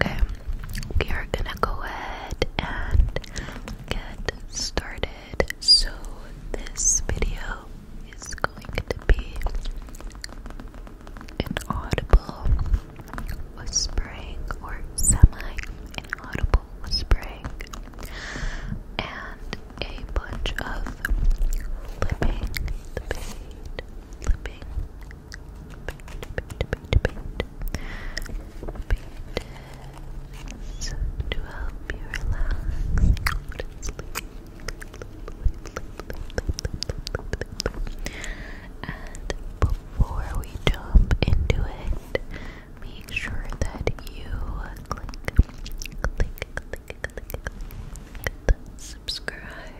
Okay, we are gonna go ahead and get started. So, this video is going to be an audible whispering or semi inaudible whispering and a bunch of flipping the page. So to help you relax and before we jump into it, make sure that you click, click, click, click, click, click the subscribe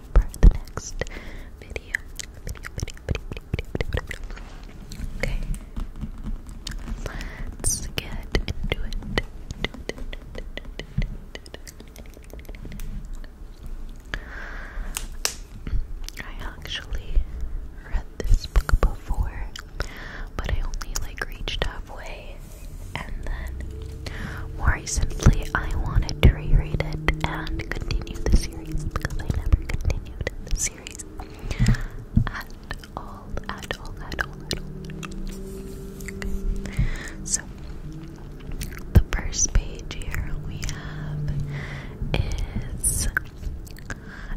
for the next video. Video, video, video, video, video, video. Okay. Let's get into it. I actually read this book before, but I only like reached halfway and then recently I wanted to reread it and continue the series because I never continued the series at all, at all, at all, So, the first page here we have is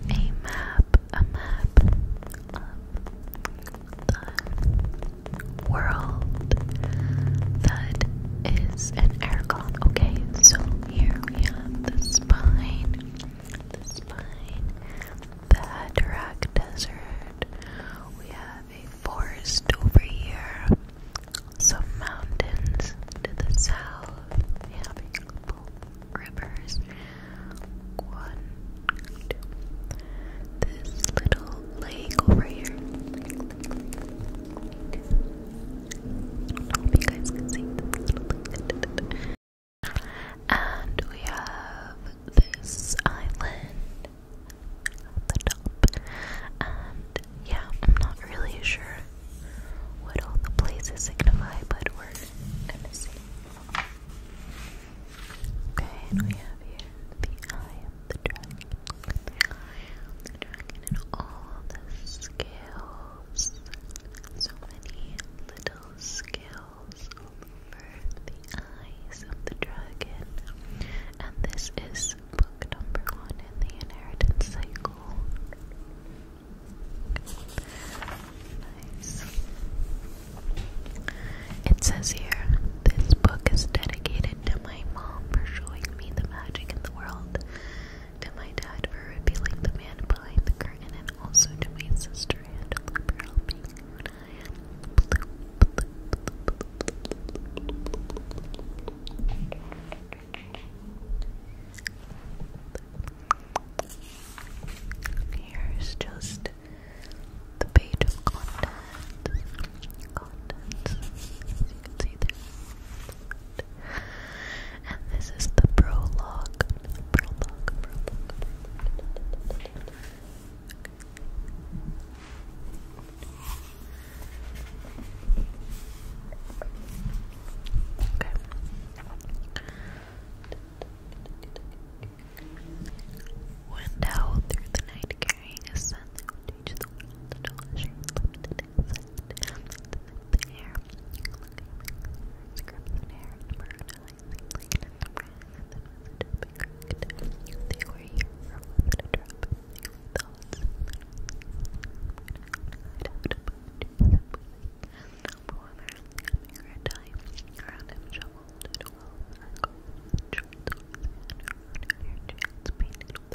a map, a map of the world that is an aircon. Okay, so here we have the spine, the spine, the Hatterack Desert. We have a forest over here, some mountains to the south. We have a couple rivers. One, This little lake over here. I hope you guys can see this. And we have this island at the top. And yeah, I'm not really sure what all the places signify, but we're gonna see. Okay, and we have here the eye of the dragon the dragon and all the scales. So many little scales over the eyes of the dragon. And this is book number one in the inheritance cycle. Nice. It says here, this book is dedicated to my mom for showing me the magic in the world, to my dad for revealing the man behind the curtain, and also to my sister and for helping when I am Here's just the page of content contents, you And this is the prologue. Okay. Went through the night carrying a sun change the world in all shades, limited access, limited hair, script and hair, number nine, complete and the brand, and the message has been corrected. They were here for one to drop their thoughts, and out about Jesus, no woman, coming her time, around him shoveled, and all, and gold, and truth, and her chance painted with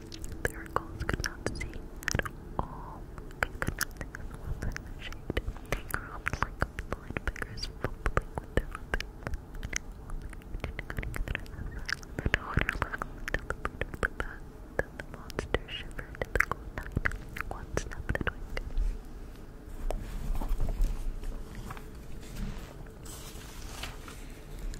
Miracles could not see at all. Could, could not think of the world in the shade. They groped like blind beggars, fumbling with their weapons. The door locked until the boot of the bat. Then the monster shivered in the cold night. One snapped a twig.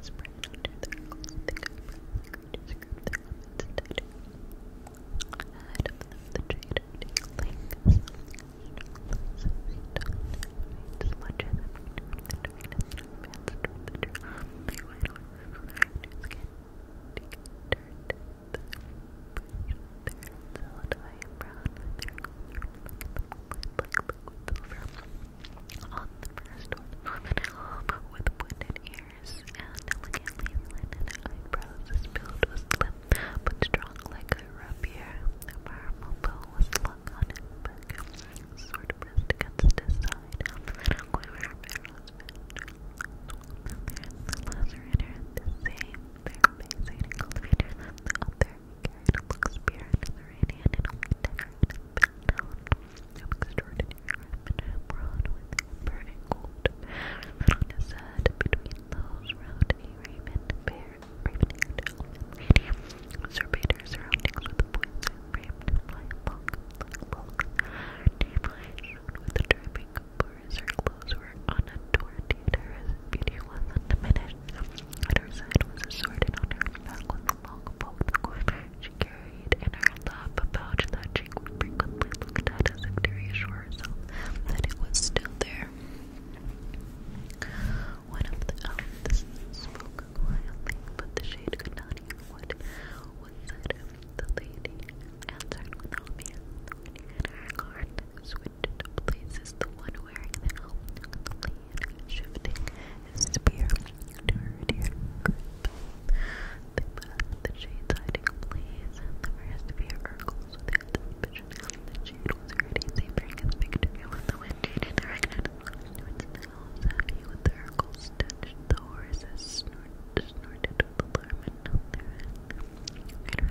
spread out to their goals and think of creatures group their limits and tighter. Ahead of them the trader dangling some straws of stone and smudges and return the darkness and advance toward the tree. Meanwhile, Rufus can take a dirt the their solid eye and brown with their gold like liquid silver. On the first one, with pointed ears and elegantly linen eyebrows. His build was slim but strong like a rapier. A marble bow was slung on his back, sword pressed against his side. Norman Home quivered barrels the lacerator, the same, their amazing cultivator, the other. He carried and the radiant and only decorated some extraordinary women broad with amber and gold on his head between those round a raven bear raven-haired elf surveyed her surroundings with a flying bulk like bulk deep eyes with a dripping as her clothes were unadorned yet her beauty was undiminished at her side was a sword and on her back long carried in her lap a pouch that she frequently looked at as a to reassure herself that it was still there. One of the elves spoke quietly, but the shade could not hear what was said. The lady answered with obvious authority, and her guard switched places. The one wearing the helmet, shifting his spear to The path the shade's hiding plays, and the first fear urgles with its ambition. The shade was already savoring his victory when the wind jaded directed its nails heavy with the urgles touched the horses, snort, snorted with alarm and held their head.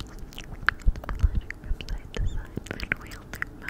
Later, the magic website, the signs, and wheeled their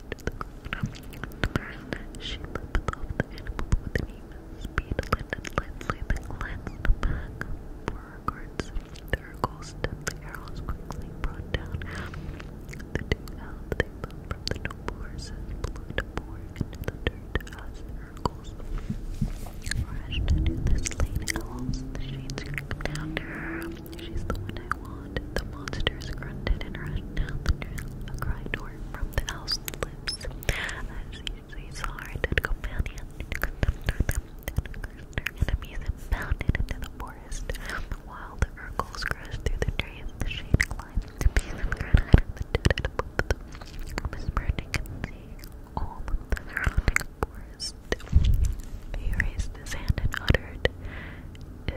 into the ground. She lifted off the animal with an even speed, landed lightly, then glanced back for her guards. The Urgles stepped the arrows quickly, brought down the two elves they fell from the noble horses, blew to pour into the dirt as the Urgles rushed into the slain elves. The shades crept down to She's the one I want. The monsters grunted and rushed down the trail. A cry tore from the house lives as Caesar's hearted companion and enemies and bounded into the forest while the Urkels crashed through the tree and the shade the piece of the dead above them whispering and seeing all the surrounding forest he raised his hand and uttered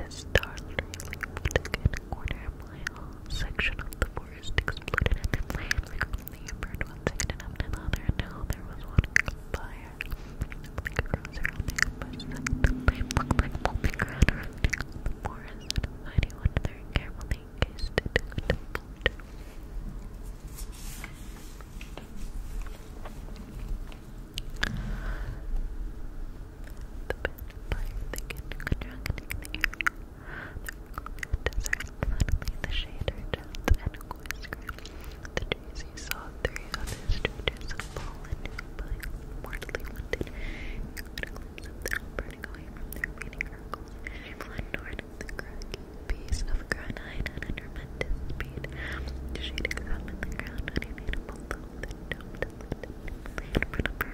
his startlingly particular corner whole section of the forest exploded into flames. I only burned one second after another until there was one fire. Like a rose around the ambush the flame looked like molten ground the forest. Heidi went there carefully kissed the bent wire thickened, contracting the air. The desert, suddenly the shade urged and a whisker. The trees he saw, three other strangers had fallen, but mortally wounded. He caught a glimpse of them burning away from their meeting circle. She fled toward the cracking piece of granite at a tremendous speed. She examined the ground and he made a bolt of the dome to lift it. He laid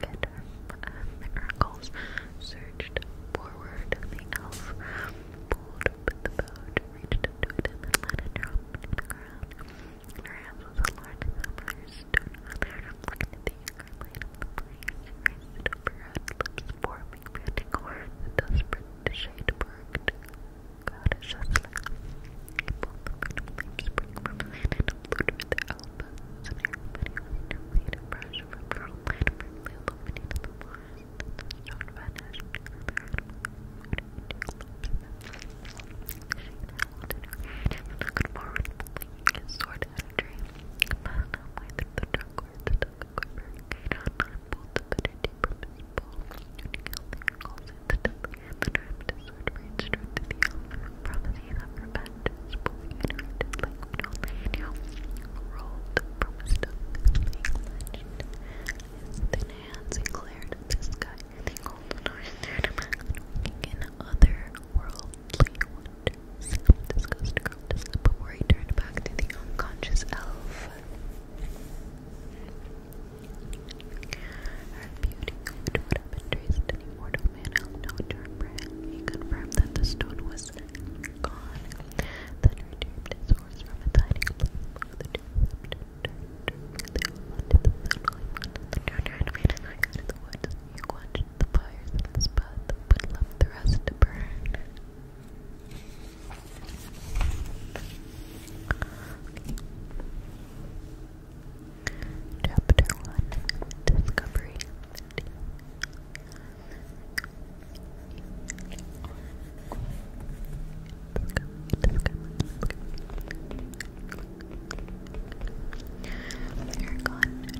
get um, miracles, surged forward, the elf pulled up the boat, reached into it, and then let it drop to the ground. In her hands was a large sapphire stone, the younger light of the flames, raised it over her head, lips forming panting horns, and desperate to shade burged. God, it's just like people, the flames spring include with the elbows and everybody with no way to brush from pearl light perfectly illuminated the forest and the stone vanished into the and looked forward, blinking his sword at a tree. But halfway through the dark woods, he took a quiver and carried on nine bolts of energy from his bow. Shooting out the angles instantly, and the armed sword ranged straight to the elf, promising that for matches fully interacted like we normally from a stuff being Then hands declared this guy they hold an iron in otherworldly wonders. Disgusting girl before he turned back to the unconscious elf. Her beauty could have been traced anymore to man held no term He confirmed that the stone was gone, then retrieved his horse from its hiding place. He quenched the fires in the spot, but left the rest to burn. Chapter 1 Discovery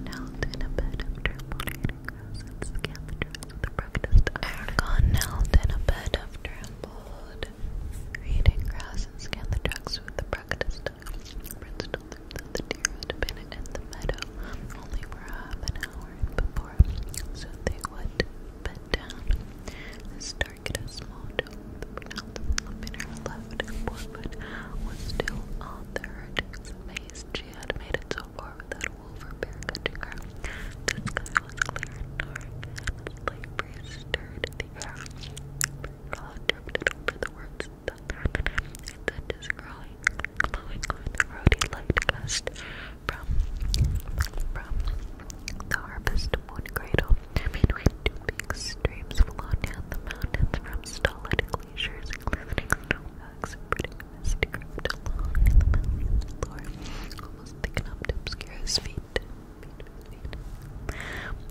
knelt in a bed of trampled grass and scanthress with a breakfast. Aragon knelt in a bed of trampled reading grass and scanned the with the practice Bristol through the dearest bennett and the meadow only were half an hour before, so they would bed down and start at a small dome. The pronounced in her left forefoot was still on the herd's face. She had made it so far without a wolf or bear catching her. The sky was clear and dark, light breeze stirred the air. Cloud drifted over the words Goodness growing, glowing with rosy light gust from from the harvest moon cradle. Midway two big streams flow down the mountains from stolid glaciers and glistening snowbanks, pretty misty crept along in the mountain's floor, almost thick enough to obscure his feet. Feet, feet, feet.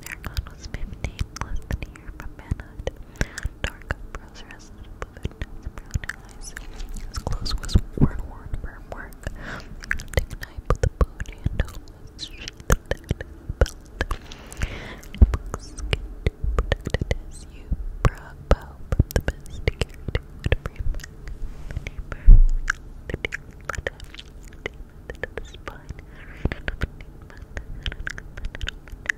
Aragon was fifteen, less than a year from manhood. Dark brows are rested above it, brown eyes. His clothes was worn, worn from work. Take a knife with a bone handle, sheath that belt. Books get protected as you to carry to would bring back the neighbor. The deal let the deal method of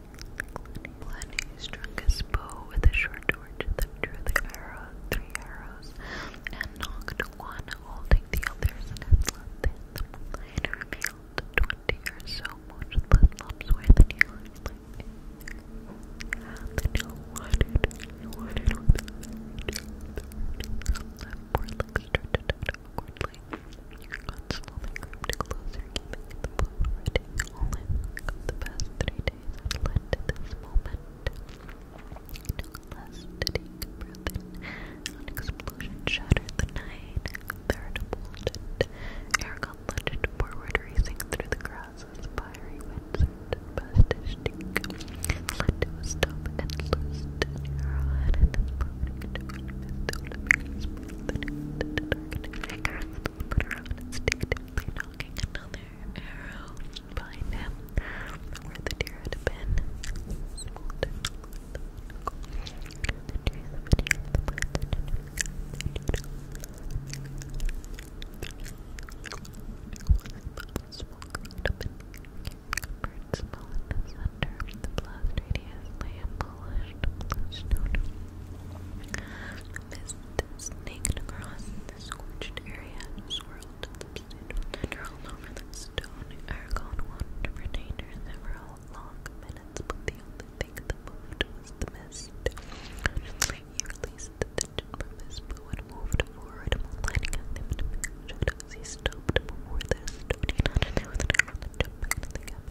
Lenny struck his bow with a short torch, then drew the arrow, three arrows, and knocked one, holding the others in his left hand. The moonlight revealed twenty or so motionless lumps where the dealer lay. The deal wanted, wanted with the third, the left foreleg started out slowly, slowly crept closer, keeping the boat ready. All I work the past three days had led this moment. No less did breath An explosion shattered the night. Third bolted. Aragon lunged forward, racing through the grasses. Fiery winds surged past stop and loosed put her on instinctively knocking another arrow behind him where the deer had been. Smoke up in the the blast radiously and polished, polished Mist snaked across the scorched area and swirled the and over the stone. Aragorn wanted to retain her several long minutes, but the only thing that moved was the mist. He released the tension and moved forward, lighting a limb to make He stopped before the stone, and there was an arrow that jumped the cabin.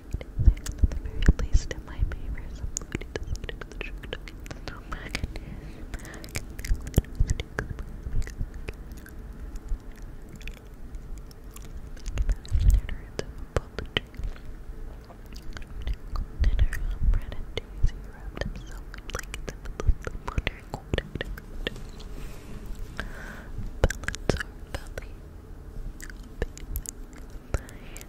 At the least, in my favor, somebody doesn't do the trick to get the snow back in Dinner on bread and cheese, he wrapped himself in blankets and the little water cold and cold. Balance or belly.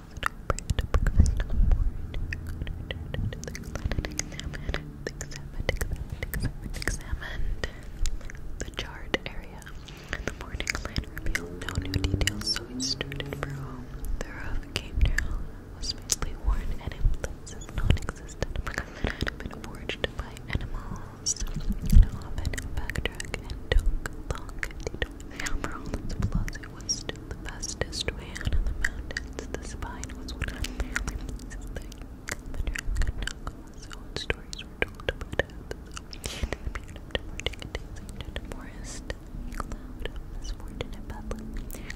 examined, examined the charred area. The morning light revealed no new details, so he started for home. There roof came down, was mainly worn, and in places non-existent. been forged by animals. often backtrack and took long to for all its flaws, it was still the fastest man in the mountains. The spine was one of the only pieces that Calvin could not stories were told about it. So, in the period of departing, and bad luck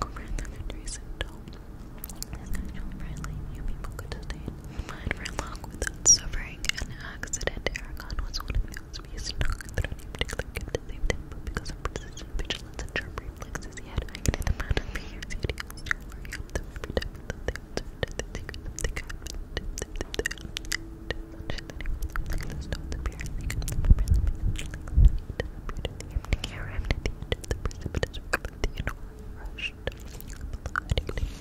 covered the countries and people could stay in for long without suffering an accident. Aragon was one of the males may stalk through any particular gift at the same tempo because of persistent vigilance and sharp reflexes. He had acted in the manner for years. He had used to worry of them every time he thought they observed the secret of the cat. Like the stones apparently come from apparently making them like that. He arrived at the end of the precipitous river, the enormous rush. Below, had ignited badly.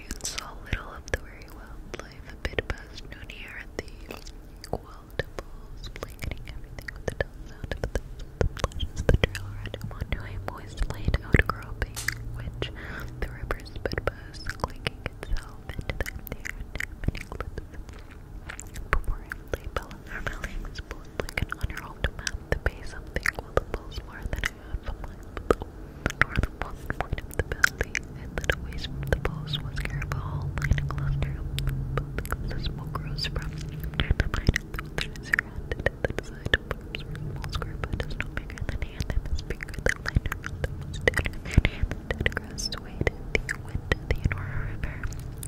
experience saw little of the very wild life. A bit past noon here at the Qual Temples, blanketing everything with the dull of the flashes. The trail led him onto a moist lane outcropping, the river sped past, clinking itself into the air in many clips. Before him lay Bellarmine, split like an unrolled map that pays something while the pulse more than a the northernmost point of the building, and that away from the post was Carabao Line Cluster. Because the smoke rose from the line of the wilderness surrounded the design of forms small square but is no bigger than hand is bigger than line the most dead and hand dead across the the wind of the Enora River.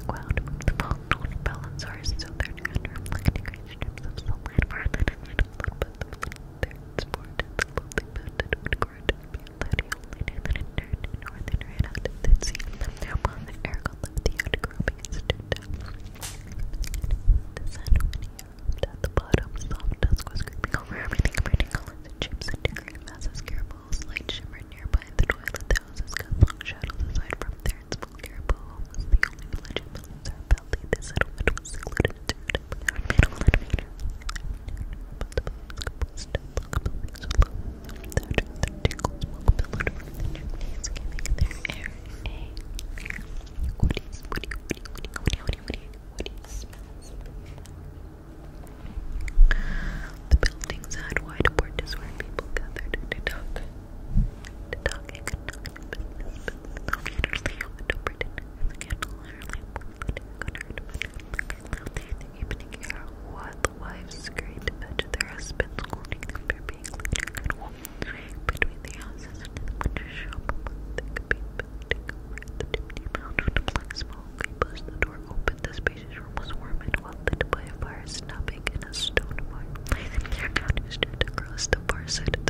Cloud moved the fallen known Belanzars so their under reflecting great strips of salt land for and flood third sport of the lowly mountain would grow to be a bloody only knew that it turned north and ran out to the sea. While the Aragon left the outcropping and stood down. The sun, when he arrived at the bottom, soft dusk was creeping over everything, burning colors and chips and decorative masses. Carapaul's light shimmered nearby in the twilight. The houses cut long shadows aside from their small Carapaul was the only village in Belisar Valley. The settlement was secluded the buildings had wide porches where people gathered to talk, to talk the evening air, what the wives great to fetch their husbands, holding them for being laid between the houses and the winter shop, that could be building over the chimney mound with a black smoke. He pushed the door open, the spacious room was warm and well lit by a fire snubbing in a stone fire. There, counter stood across the far side of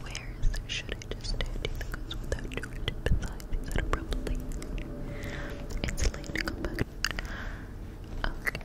Where is Should I just stand? Do you think without doing it beside Is that probably? It's late to come back. Okay.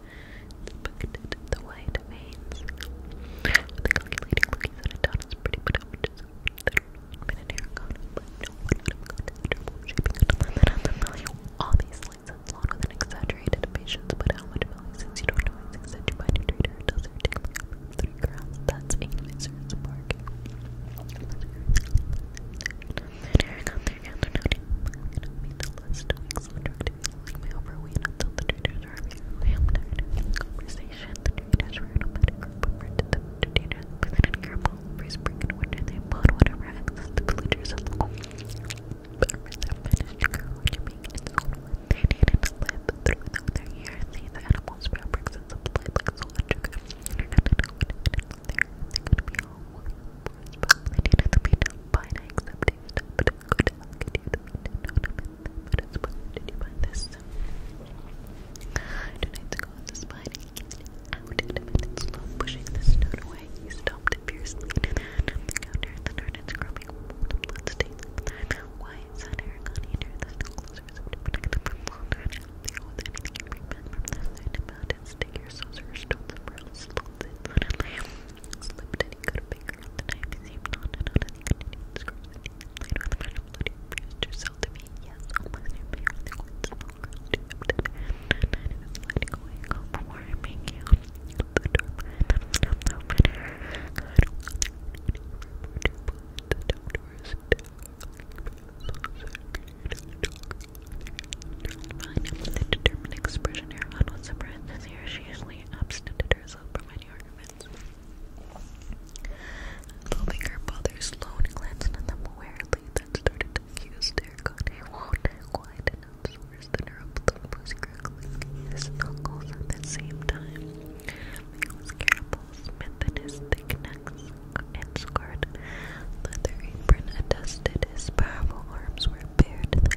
Inspected the wide veins. With a calculating look, he said, "It is pretty, but I'm just minute hair gone. But no one would have gone to the trouble of shaping it to limit on the value. Obviously, sounds long with an exaggerated patience, but how much value since you don't always exceed your mind to treat her? Does her take like three grams? That's a miserable bargain." There you go, there you go, they're not even going to be the endless doings which are like my overweight until the traders are having a ham conversation. The traders were an nomadic group of rented them to traders within a year every spring and winter they bought whatever access the villagers had farmers have managed to grow to make its own one. They needed to live through their years, see the animals, fabrics, and supply like salt and sugar. Internet and wood there, they could be all one. They needed to be done by an accepting step good luck. You don't know did you find this? Two nights ago on the spine, he out at him and slow pushing the stone away. He stomped it fiercely and then the counter and the darn and scrubbing mold and blood stains from the eye. Why is that Aragon here? The snow closer is to protect them from longer and healthier with anything you bring back from this night about it. Stick your saucer, stone somewhere else, fold it, let it lay, slipped did you go to bed on the night? Is you not? And how does he continue to screw with you? Later on the night, I'm bloody refused yourself to me. Yes, almost near me. Really want some more girls to have that. And I was letting go and go before I make you. The door behind them is not open. I don't want to remember to put the door doors down. Fine, with a determined expression, her on was surprised to see her. She usually I um, absented herself from any arguments. Loving her father, Sloan glanced at them warily, then started to fuse their good. It won't quiet enough, so worse than her blood was crackling knuckles at the same time. He was careful, thick neck and scarred leather apron attested his powerful arms were bared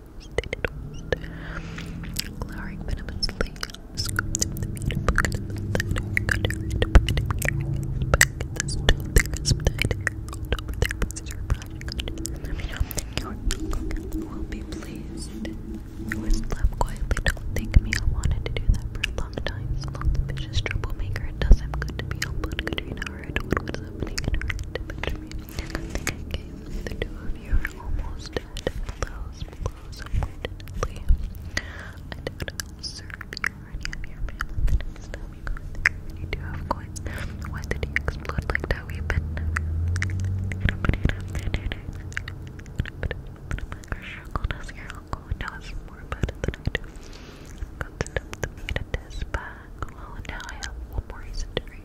Glowering venomously, scooped up the meat, poked will be pleased. Louis laughed quietly, don't think me, I wanted to do that for a long time. Sloth, vicious troublemaker, it does him good to be humbled. Katrina heard what was happening to picture the two of you are almost at close, close, I don't know, sir, if you already have your the next time you go You do, of course. Why did you explode like that? We've been. Your uncle knows, your uncle knows more about it I do. Got to dump the Well, now I have one more reason to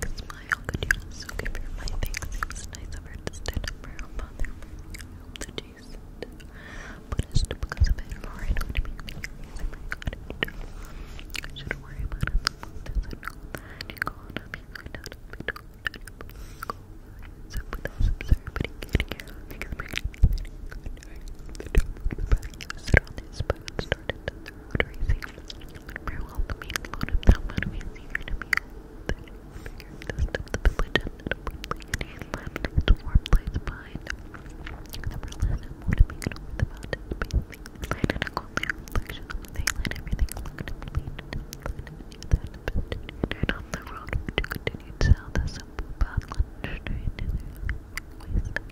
quick smile. Could you also give my thanks? It nice of her to stand up for her father. I hope that because of it, or it would make me I should worry about it. Doesn't know go on up, you find out if you So Buddha's absurd, but fundraising. you the main load of that one is easier to be that figure of the steps of the legend that openly and left its warm place behind. The burlesque and motivated over the mountain space, lighted a coldly reflection of the daylight, everything looked complete. Turned off the road which continued south as a blue path led straight into the waste.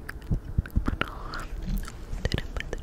But all did it by the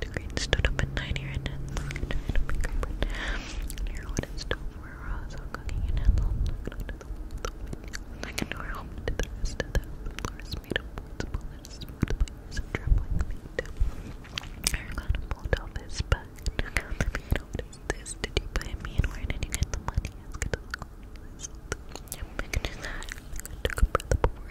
The queen stood up at night here and had like a giant baker bread. Here on its stove were raws all cooking and had long looked under the wall of the window. Like an oil to the rest of the floors made of boards, bullets, smooth players, and trembling feet. Ireland pulled off his back. Took out the bead notice this. Did you buy me and where did you get the money? Asked the cold. I sold them. You make it that. I took a breath before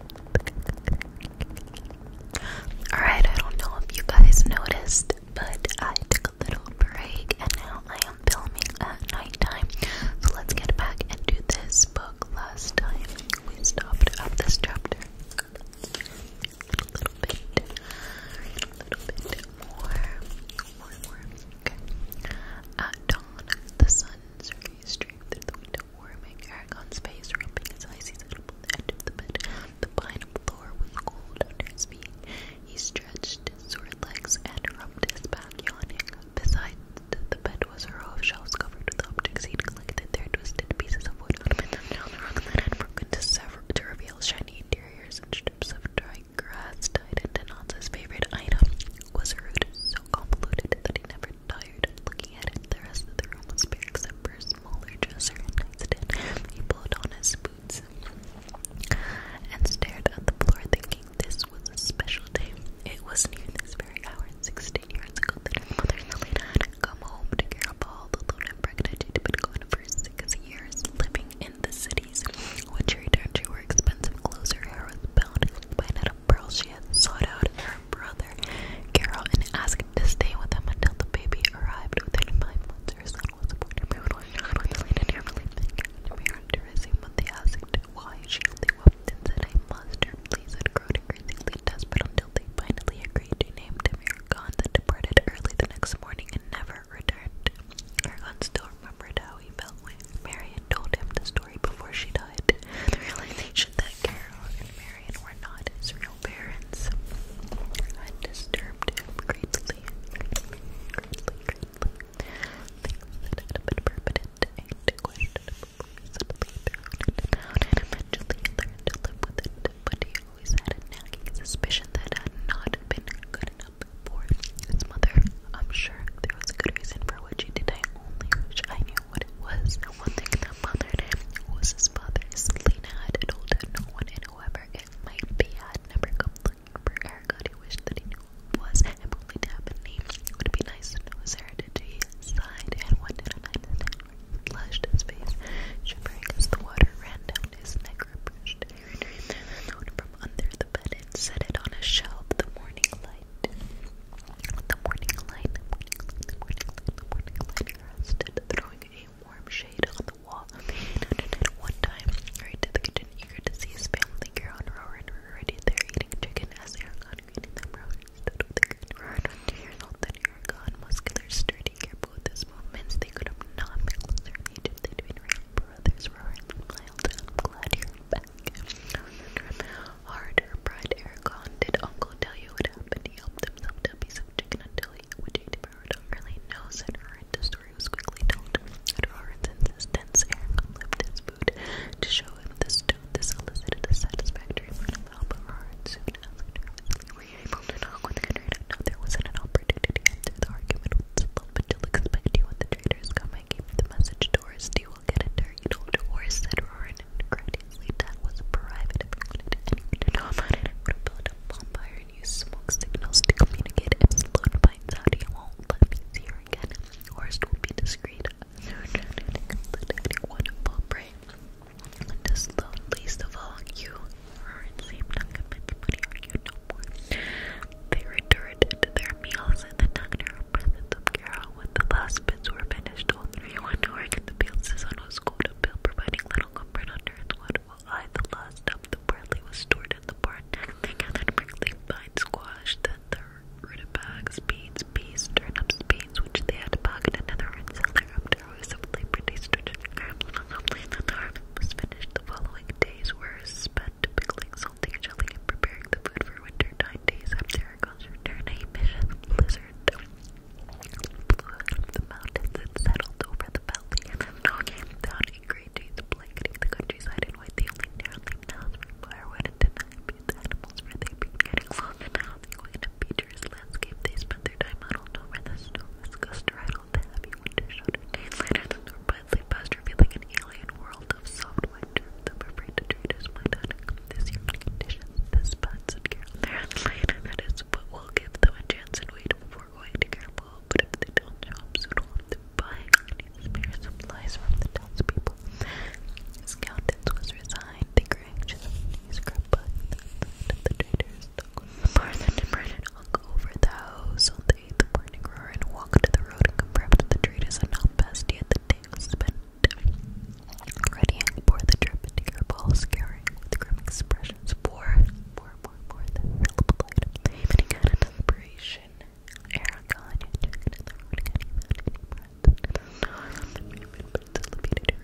Alright, I don't know if you guys noticed, but I took a little break and now I am filming at nighttime. So let's get back and do this book. Last time we stopped at this chapter. A little bit, a little bit more, more, more. Okay. At dawn, the sun's rays streamed through the window warming Aragon's face, rubbing his eyes, he settled on the edge of the bed. The pine floor was cold under his feet. He stretched his sore legs and rubbed his back, yawning. Beside the bed was a row of shelves covered with objects he'd collected there, twisted pieces of wood, ornamented down the rock that had broken to, several to reveal shiny interiors and strips of dry grass tied into knots. favorite item was a root so convoluted that he never were tired of looking at it. The rest of the room was bare except for a smaller dresser and nightstand. He pulled on his boots and stared at the floor, thinking this was a special day. It was near this very hour, sixteen years ago, that his mother and Elena had come home to care of all the lone and pregnant she'd been gone for six years, living in the cities. When she returned, she wore expensive clothes. Her hair was bound by an pearl she had sought out her brother, Carol, and asked to stay with him until the baby arrived. Within five months, her son was born. Everyone was really and nearly thinking to be interesting, but they asked why she only wept and said, I must. Her pleas had grown increasingly desperate until they finally agreed to name him Aragon that departed early the next morning and never returned. Aragon still remembered how he felt when Marion told him the story before she died. The that Carol and Marion were not his real parents had disturbed him greatly, Things that had been permanent and questionable suddenly thrown and eventually learned to live with it, but he always had a nagging suspicion that had not been good enough for his mother. I'm sure there was a good reason for what she did language. I knew what it was. The one thing that bothered him was his father. Selena had told no one and whoever it might be had never come looking for Erica. He wished that he knew who it was and probably to have a name. It would be nice to know his heritage. He sighed and one did an understand where he flushed his face, shivering as the water ran down his neck. Reproached Harry, the note from under the bed and set it on a shelf. The morning light. The morning light, the morning light, the morning light, rested, throwing a warm shade on the wall. one time, hurried right the kitchen, eager to see his family. Karen Rowan were already there eating chicken as Aragon greeted them. Rowan stood with the green Rowan, two years old than Aragon, muscular, sturdy, careful with his movements. They could have not been closer in age if they'd been real brothers. Rowan smiled, I'm glad you're back harder, cried Ericon. Did Uncle tell you what happened? He helped himself to a of chicken until he would eat it. I don't really know, said Roran. The story was quickly told. And At Roran's insistence, Ericon left his food to show him the stone. This elicited a satisfactory amount of help, but Roran soon enough. nervously, were able to knock on the trader? No, there wasn't an opportunity to answer the argument with Slump, but you'll expect you when the trader is coming. I gave the message to Orsty will get it there. You told said Roran and that was private private and you did not about it. smoke signals to communicate and Sloan finds out he won't let me see her again. Orst will be discreet. Wonderful brain. Just the least of all, you are in same not convinced money or you no more. They returned to their meals and the doctor presence of Carol with the last bits were finished banished all three, went to work in the fields. His son was cold and pale, providing little comfort under his wonderful eye. The last of the barley was stored in the barn. They gathered prickly vine squash, then the rutabagas, beans, peas, turnips, beans, which they had pocketed in the red cellar after hours of labor. They stored in grams and humbly that the harvest was finished. The following days were spent pickling, salting, shelling, and preparing the food for winter time nine days after Hercules' return, a vicious blizzard flew out of the mountains and settled over the valley and knocking down in great days, blanketing the countryside in white. The only narrow-leaved house for firewood and denied feed the animals for they been getting lost and out in a featureless landscape. They spent their time huddled over the snow as gust rattled the heavy winter shelter. Days later, the north finally passed, revealing an alien world of soft like germs, I'm afraid the traders might outcome this year conditions, this spots and care. Apparently, that is what will give them a chance and wait before going to Careful. But if they don't buy these spare supplies from the townspeople. His countenance was resigned, they grew anxious, he scrubbed by the the traders. Martha and Brennan hung over the house on the morning roar and walked to the road and confirmed the traders had not passed yet. The day was spent Readying for the trip into your balls, caring with grim expressions for, for, for, for the available item. any breath. It's elevated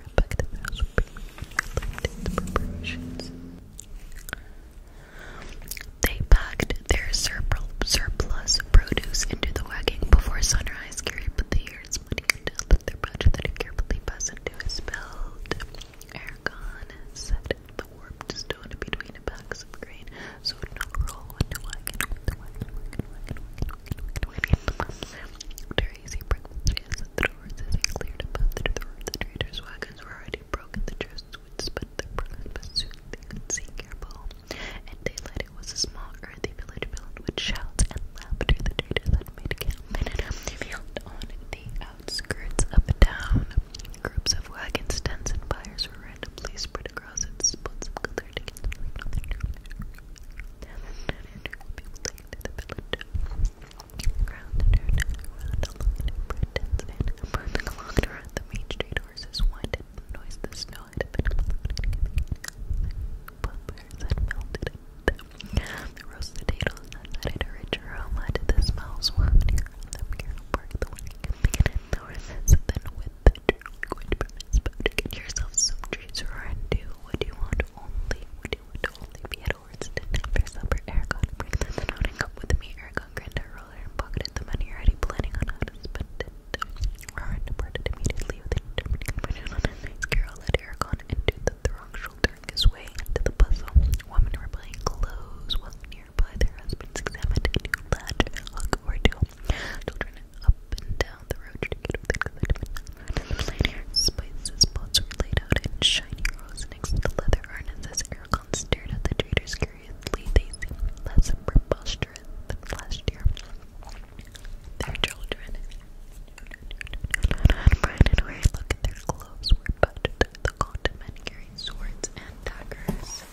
They packed their surplus produce into the wagon before sunrise eyes carry but the ears money and tell that their budget that if carefully pass into is spelled. Aragon set the warped stone between the backs of grain, so it not roll when the wagon, the wagon, wagon, wagon, wagon, wagon, wagon, wagon. After easy breakfast, the doors as it cleared above the door, the traders' wagons were already broken, the chests would split their breakfast, but soon they could see careful in daylight, it was a small, earthy village filled with shouts and laughter. The traders had made camp in an empty field on the outskirts of town. Groups of wagons, tents, and fires were randomly spread across its spots of color to get the People came to the village. Ground turned around along an intense and along the main street. Horses whined and noise the snow know it The roasted potatoes that had a rich aroma to the smells wafting around them. Carol barked the warning and the horses, then with the liquid from his to Get yourself some treats, or do what you want only. What you want only be at Ordston after supper. Aragon, bring this out and come with me. Aragon grinned at Roller and pocketed the money, already planning on how to spend it. Carol led Aragorn into the throng, shouldering his way into the bustle. Women were playing clothes while nearby their husbands examined new latch, hook, or two. Children up and down the road Spices, pots were laid out in shiny rows next to the leather harnesses. Aragorn stared at the traders curiously. They less preposterous than last year their children. And Brian and at their clothes were butchered. The condom men carried swords and daggers.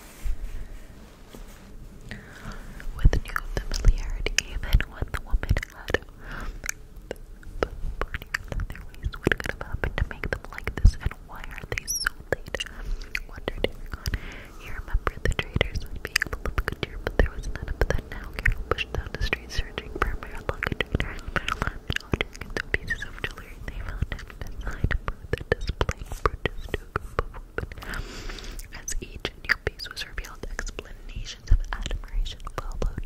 With new familiarity, even when the woman had the burning their ways, what have happened to make them like this, and why are they so late? Wondered he remembered the traders as being full of good cheer, but there was none of that now. Carol pushed down the street, searching for a bare luggage trader and bare lamp and holding into pieces of jewelry. They found him beside a booth that displayed brooches to a group of women. As each new piece was revealed, explanations of admiration followed.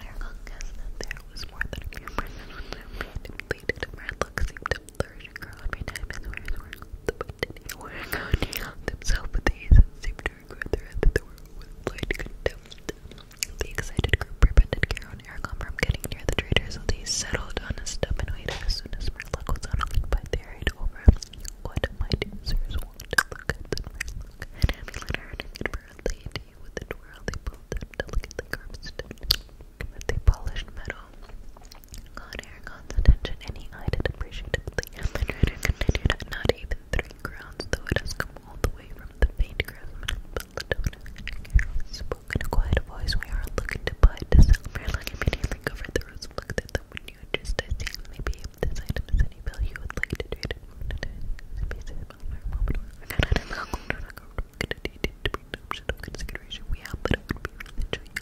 Carol guessed that there was more than a few presents when they completed. Her look seemed to flourish and grow every time his wares were on the boot. They were themselves with ease and seemed to regret their end of the world with light contempt. The excited group prevented Kara and Aragorn from getting near the traitor, so they settled on a step and waited. As soon as luck was unoccupied, they hurried over. What might Sirs want to look at the Merlock? And Amulator and Amulator, lady with a twirl, they built them delicately carved stone, but they polished metal. God, Aragon's attention, and he eyed it appreciatively. The trader continued, not even three crowns, though it has come all the way from the faint craftsman of Belladonna. Spoke in a quiet voice, we are looking to buy to sell. Merlin immediately covered the rose and looked at the window, just as seeing maybe if this item is any value you would like to trade it. We have, but it would be really joy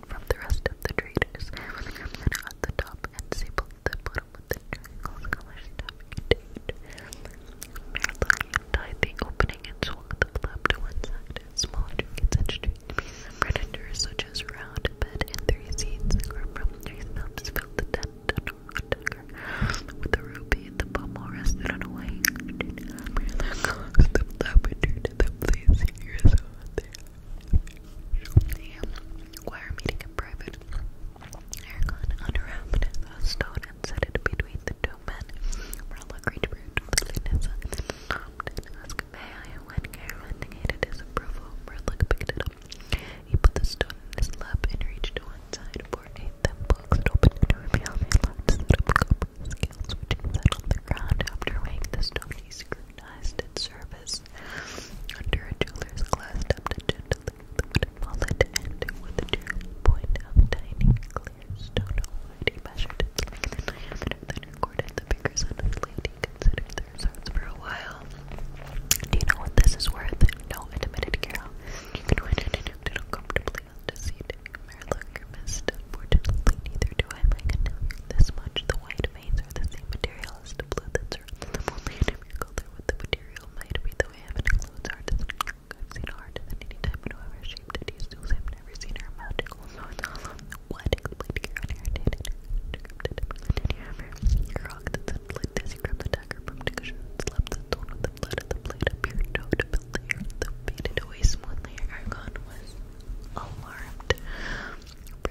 from the rest of the traders. At the top and sable the bottom with the triangle color stuff contained. the opening and swung the flap to one side. Small trinkets and strange predators such as round bed and three seeds or from three filled the tent with a ruby the pommel rested on a wing. the flap and turned them facing yourself there. Wire meeting in private. Aragon unwrapped a stone and set it between the two men. Marla reached for Vanessa and asked May and when Carol indicated his approval, Marla picked it up. He put the stone in his lap and reached to one side for a thimble that opened to reveal a large set of copper scales which he set on the ground after weighing the stone he screwed recognized its service. Under a jeweler's glass, tapped gently with a wooden wallet, and with a true point of tiny clear stone already measured its length and then recorded the figures on his lady, considered the for a while. Do you know what this is worth? No, admitted Carol. You can win it and comfortably on the seat. Merlock Unfortunately, neither do I, Megan. This much the white veins are the same material as the blue that's around them, only in a mere color with the material might be the way heaven includes artists. I've seen art in any type and whatever shape that is, those I've never seen are magical. So it's all on what explained here inherited and decrypted and hammer. Your rock that sent like this, you grabbed the dagger from Dickshire and slapped the stone with the blood of the blade up your toe to build the earth that faded away smoothly. Argon was alarmed. For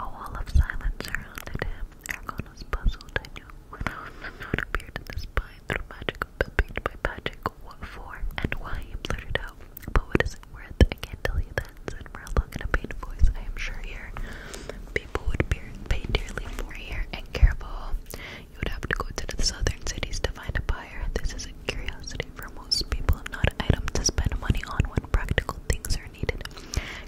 A wall of silence surrounded him. Aragon was puzzled. I knew what appeared in his mind through magic, paint by magic, what for and why blurted out. But what is it worth? I can't tell you that, said Marilla in a pained voice. I am sure here people would pay dearly for here. And careful, you would have to go to the southern cities to find a buyer. This is a curiosity for most people, not an item to spend money on when practical things are needed.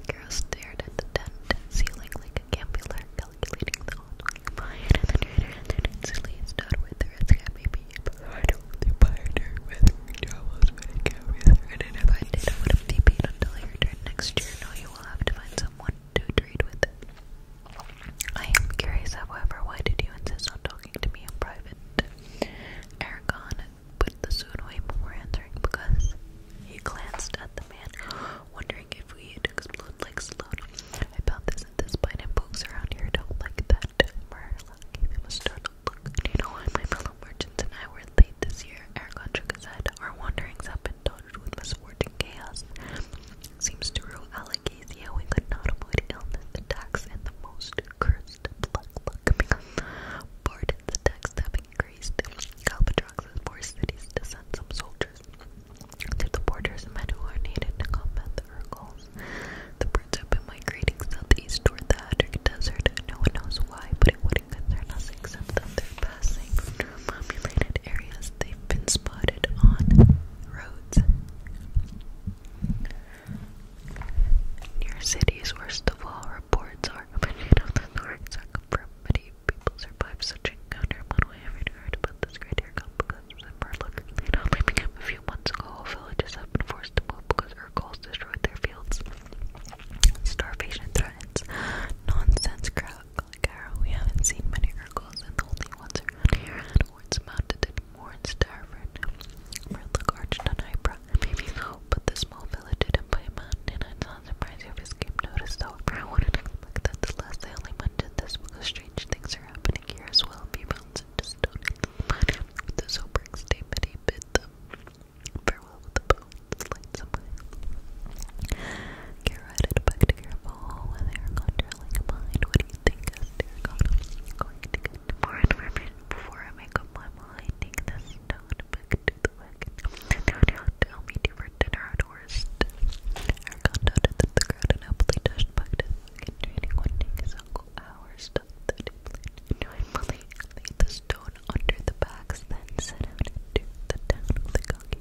Carol stared at the tent ceiling like a gambler, calculating the odds. Buyer and the trader and then instantly stood with the risk that maybe you provided the buyer with travels when it came with her and identified data would have debated until he returned next year. No, you will have to find someone I am curious, however, why did you insist on talking to me in private? Aragon put the suit away before answering because he glanced at the man, wondering if we'd explode like Sloan. I found this and this point, and folks around here don't like that. Marla gave him a startled look. Do you know why my fellow merchants and I were late this year? Aragon took his head. Our wanderings have been dotted with misfortune chaos seems to rule alopecia. We could not avoid the attacks and the most cursed pluck luck because the attacks have increased. Calpatrox's forced cities to send some soldiers to the borders, men who are needed to combat the Urgles. The birds have been migrating southeast toward the Hadric Desert. No one knows why, but it wouldn't concern us except that they're passing through populated areas. They've been spotted on roads your city's worst of all, reports are emerging of the north circumference. people survive such encounter. One way I've heard about this great air comes was in Merlin. It only a few months ago. All villages have been forced to move because Urkels destroyed their fields. Starvation threatens. Nonsense crowd We haven't seen many Urkels and the only ones around here afterwards mounted it more in Starford, Murlock arched on eyebrow, maybe so, but the small village hidden by a mountain, and on the prize of his game noticed how I wanted to look that the last I only mentioned this because strange things are happening here as well, be bounced into stone with the sobering statement he bid them farewell with the bones, lights away. Care write it back to your phone with your controlling mind. What do you think I'm going to get information before I make up my mind. Take this stone back to the wagon. Tell me to for dinner at worst. Eric undoubted that the crowd unhappily dashed back to the one day hours stuff that laid the stone under the bags, then set out into the town with the cocky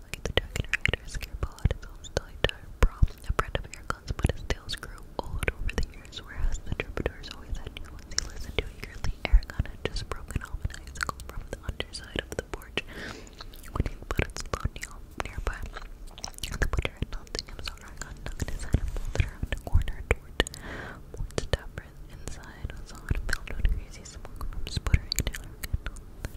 like the Dragon Rider Scarepod is also a problem. A friend of Airgun's, but his tales grew old over the years, whereas the Troubadours always new they listened to eagerly. Aragon had just broken off an icicle from the underside of the porch when he put its low nearby. The butcher had not seen him, so Aragon tucked his head and folded around a corner toward Mort's tavern. Inside was on a mound of greasy smoke from sputtering Taylor candle. The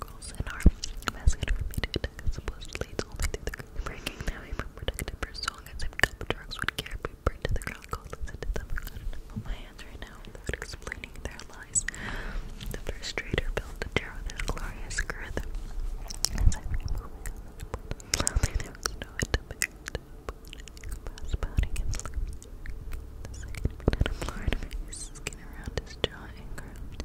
girls in our basket for me to attack. Supposedly, it's only through the group breaking that we were protected for so long as if couple drugs would carry people to the ground. Go listen to them. I've got enough on my hands right now without explaining their lies. The first trader built the chair with his glorious girth. As I removed slowly, there was no attempt to pouting and slurping. The second banana blurred face, skin around his jaw and curled.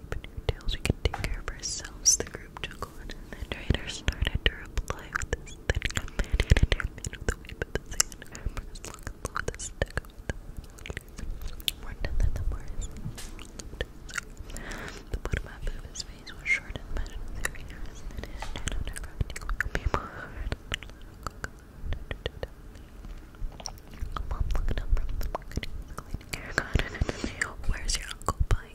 sleep in we can take care of ourselves, the group chuckled, and the trader started to reply with his thin companion and the whip of the sand, her as long and low stick of the more than the Morris The bottom of his face was short and matted with hairy hairs, and his head on her crafty corner Mom looked up from the market, cleaning Where's your uncle buying?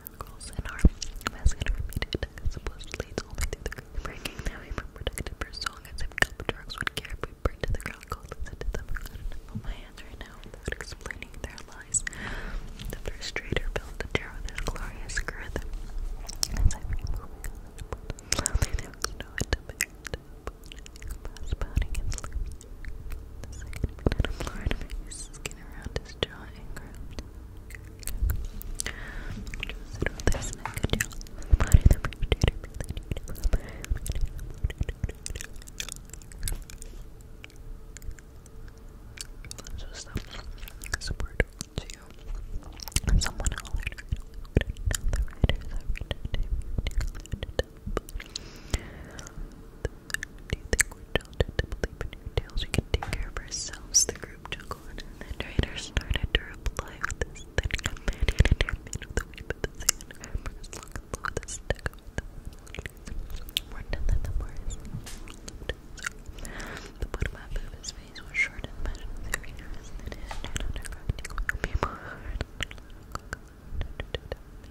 girls in our masculine are repeated. Supposedly, it's only through the group breaking that we were protected for so long as if cup drugs would care if we burned to the ground cold and said to them, I've got enough on my hands right now without explaining their lies. The first trader built the tower with his glorious girth. As I keep moving on the boat, slowly there was no end to it. Past pounding and sleeping. The second man of Florida made his skin around his jaw not engraved. This body the really just support to someone else. Do you think we're believe in your tales? We can take care of ourselves. The group chuckled, and the trader started to reply with his thin companion and her man of the whip of the sand. As long the stick More than the boys. The bottom half of his face was short and measured with very nervous, and it had turned out a crack. People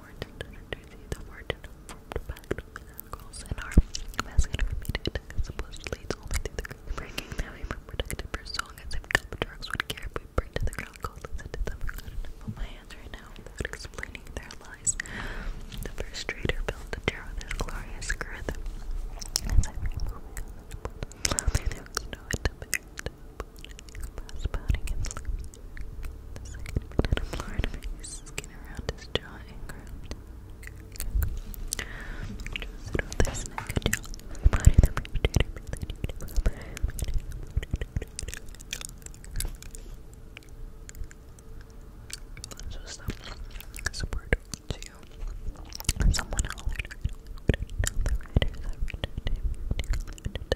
important energies that were formed by chemicals in our basket are immediate and supposedly it's only through the green breaking that we were protected for so long as if cup drugs would care if we burned to the ground cold and said to them, I've got enough on my hands right now without explaining their lies. The first trader built the tower with his glorious girth. As I remove it, the snow and the spouting and sleeping. The second minute Lord Face skin around his jaw and ground. Just sit on this neck and jaw. Body the potato,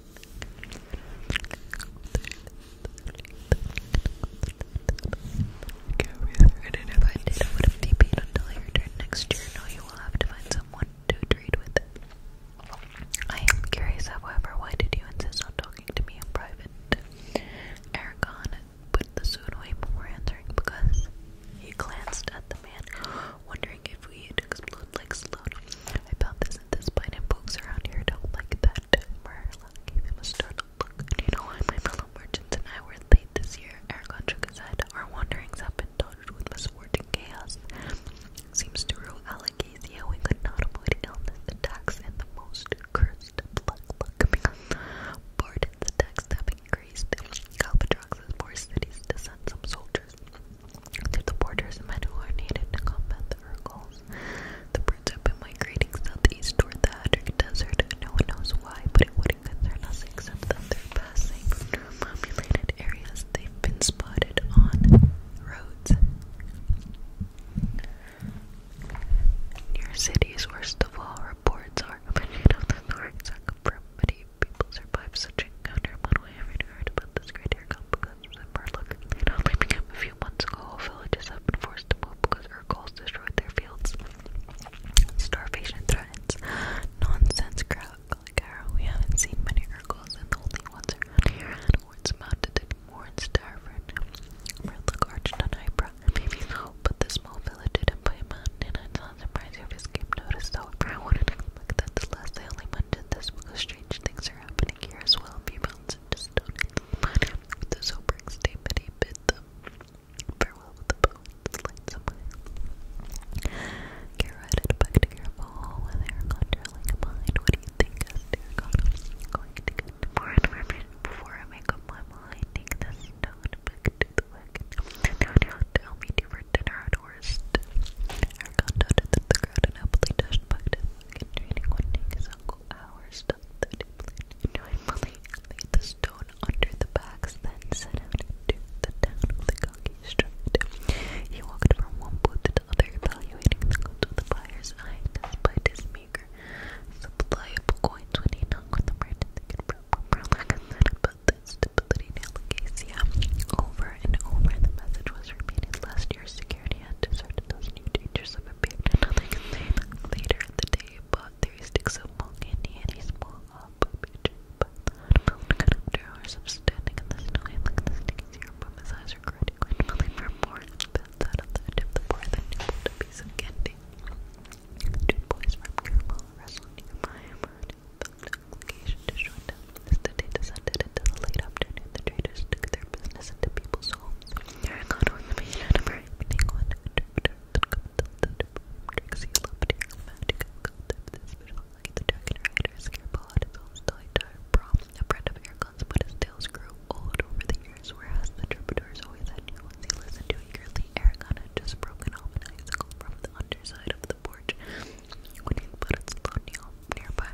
and if I did, I would have DP'd until I return next year. No, you will have to find someone to trade with. I am curious, however, why did you insist on talking to me in private? Aragon put the suit away before answering because he glanced at the man, wondering if we had explode like Sloan. I felt this and this and pokes around here don't like that gave him a startled look. you know why my fellow merchants and I were late this year? Aragon shook his Our wanderings have been dotted with misfortune chaos. Seems to rule Alagasia, we could not avoid illness, attacks, and the most cursed luck luck coming on. have increased. Galbatrox's poor cities to send some soldiers to the borders, men who are needed to combat the Urgles turns up in migrating southeast toward the Hadric Desert. No one knows why, but it wouldn't concern us except that they're passing through populated areas. They've been spotted on roads near cities. Worst of all, reports are opinion of the north. People survive such encounter. One I've heard about this great air September. Look, a few months ago. Villages have been forced to move because Urkels destroyed their fields. Starvation threatens. Nonsense crowd. Like we haven't seen many Urkels, and the only ones around here are hordes mounted and more in Starvin. Merlock arched an but the small village didn't play a and I'm not surprised if his game noticed, however, I wouldn't expect that to last. I only this because strange things are happening here as well. If you bounce into stone, the sobering statement, he them farewell with the boat's lights away. Kara headed back to Careful with her gone trailing behind. What do you think, Esther? going to get more information before I make up my mind. Take this stone back to the wagon. Now, tell me, do for dinner at worst? Aragon the crowd and happily dashed back to the wagon, training one thing his uncle hours stop Knowingly laid the stone under the bags, then set out into the town with a cocky He walked from one booth to the other, evaluating the goods with a buyer's eye, despite his meager supply coins when he knocked with the merchant they could relax and set about the stability delicacy. Over and over the message was repeated last security had to those new dangers of appeared and nothing later in the day, but three sticks of long candy and a small up. But the cut after hours of standing in the snow and like the sneaky zero from his eyes were grinding grindfully for more and spins out of the edge of the board that nibbled a piece of candy. Two boys from Carmel wrestled in my yard found an obligation to join them. As the day descended into the late afternoon, the traders took their business into people's homes. You're a god with a vision of everything. One Trixie loved your magical concept. This special like the dragon rider scarepod is almost the entire prom. A friend of Eric's, but his tales grew old over the years, whereas the troubadours always had new ones they listened to eagerly. Ericon had just broken off an icicle from the underside of the porch when he put its load nearby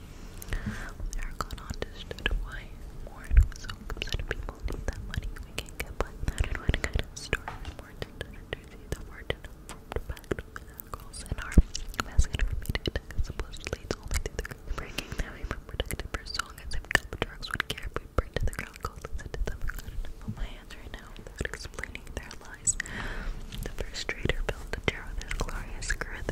Aragon understood why Warren was so upset. People need that money. We can't get by without it. What story is Martin to see the Martin formed back with our girls our basket for me to supposedly it's only through the girls breaking we were protected for so long as if cup drugs would care if we burned to the ground cold and said them I my hands right now without explaining their lies. The first trader built the chair with his glorious girth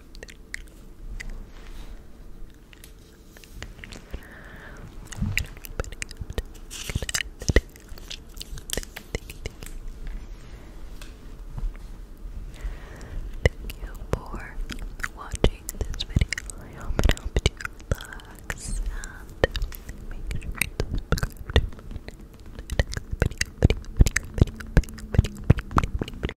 Thank you for watching this video. I hope you relax and make sure you subscribe to my next video.